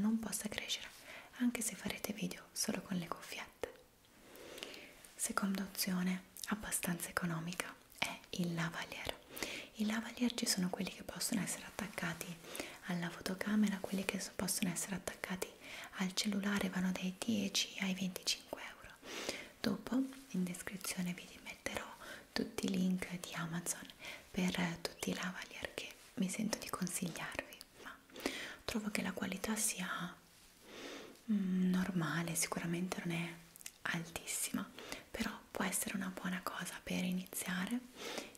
non possa crescere anche se farete video solo con le cuffiette. Seconda opzione abbastanza economica è il lavalier. I lavalier ci sono quelli che possono essere attaccati alla fotocamera, quelli che possono essere attaccati al cellulare vanno dai 10 ai 25 euro. Dopo in descrizione vi metterò tutti i link di Amazon per tutti i lavalier che mi sento di consigliarvi ma trovo che la qualità sia mm, normale sicuramente non è altissima però può essere una buona cosa per iniziare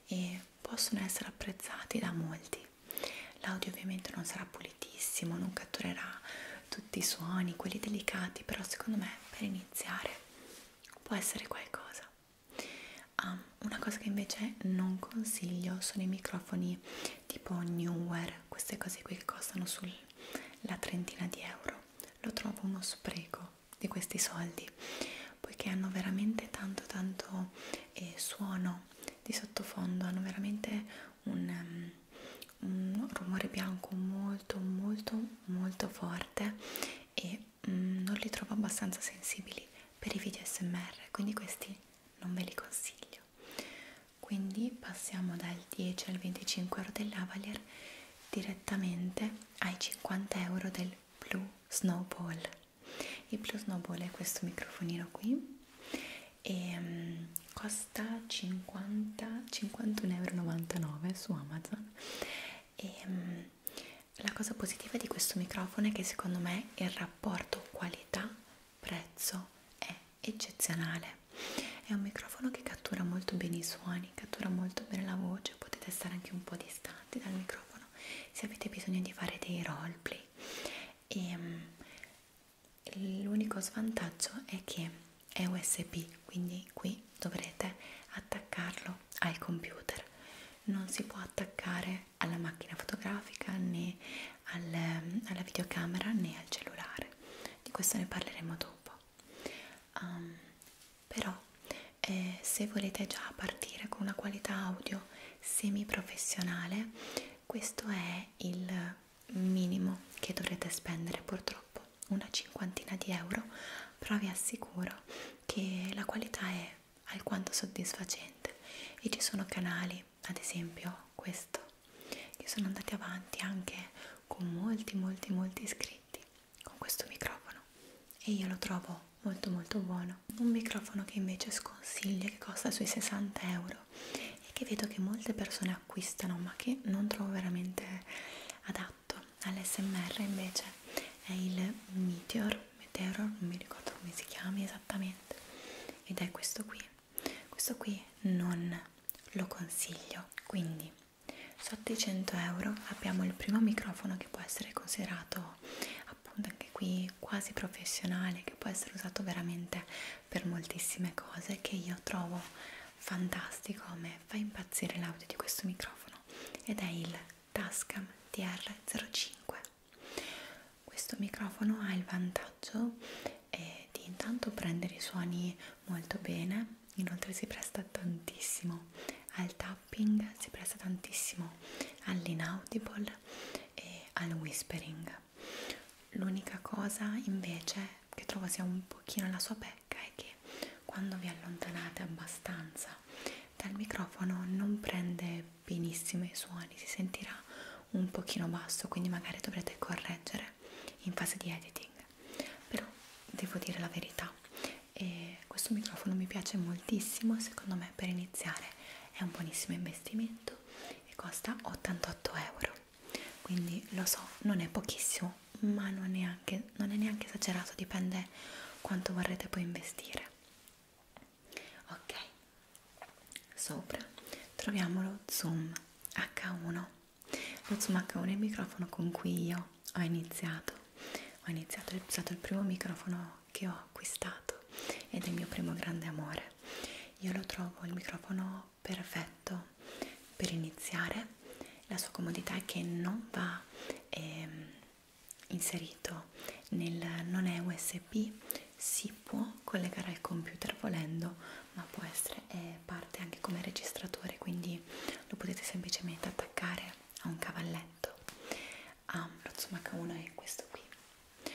e possono essere apprezzati da molti l'audio ovviamente non sarà pulitissimo non catturerà tutti i suoni quelli delicati però secondo me per iniziare può essere qualcosa Um, una cosa che invece non consiglio sono i microfoni tipo Newer, queste cose qui che costano sulla trentina di euro. Lo trovo uno spreco di questi soldi, poiché hanno veramente tanto tanto eh, suono di sottofondo, hanno veramente un, um, un rumore bianco molto molto molto forte e mm, non li trovo abbastanza sensibili per i video smr quindi questi non ve li consiglio quindi passiamo dal 10 al 25 euro del lavalier direttamente ai 50 euro del blue snowball il blue snowball è questo microfonino qui e um, costa 50 51,99 euro su amazon e um, la cosa positiva di questo microfono è che secondo me il rapporto qualità prezzo è eccezionale è un microfono che cattura molto bene i suoni cattura molto bene la voce potete stare anche un po' distanti dal microfono se avete bisogno di fare dei roleplay e um, l'unico svantaggio è che è USB, quindi qui dovrete attaccarlo al computer. Non si può attaccare alla macchina fotografica né al, alla videocamera né al cellulare. Di questo ne parleremo dopo. Um, però eh, se volete già partire con una qualità audio semi professionale, questo è il minimo che dovrete spendere purtroppo una cinquantina di euro però vi assicuro che la qualità è alquanto soddisfacente e ci sono canali ad esempio questo che sono andati avanti anche con molti molti molti iscritti con questo microfono e io lo trovo molto molto buono un microfono che invece sconsiglio che costa sui 60 euro e che vedo che molte persone acquistano ma che non trovo veramente adatto all'SMR invece è il Meteor, Meteor, non mi ricordo come si chiami esattamente ed è questo qui questo qui non lo consiglio quindi sotto i 100 euro abbiamo il primo microfono che può essere considerato appunto anche qui quasi professionale che può essere usato veramente per moltissime cose che io trovo fantastico, a me fa impazzire l'audio di questo microfono ed è il Tascam TR05. Questo microfono ha il vantaggio eh, di intanto prendere i suoni molto bene, inoltre si presta tantissimo al tapping, si presta tantissimo all'inaudible e al whispering l'unica cosa invece che trovo sia un pochino la sua pecca è che quando vi allontanate abbastanza dal microfono non prende benissimo i suoni si sentirà un pochino basso quindi magari dovrete correggere in fase di editing però devo dire la verità e questo microfono mi piace moltissimo secondo me per iniziare è un buonissimo investimento e costa 88 euro quindi lo so non è pochissimo ma non è, anche, non è neanche esagerato dipende quanto vorrete poi investire ok sopra troviamo lo zoom h1 lo zoom h1 è il microfono con cui io ho iniziato ho iniziato ho usato il primo microfono che ho acquistato ed è il mio primo grande amore io lo trovo il microfono perfetto per iniziare. La sua comodità è che non va eh, inserito nel non è USB, si può collegare al computer volendo, ma può essere eh, parte anche come registratore, quindi lo potete semplicemente attaccare a un cavalletto. Ha ah, un H1 è questo qui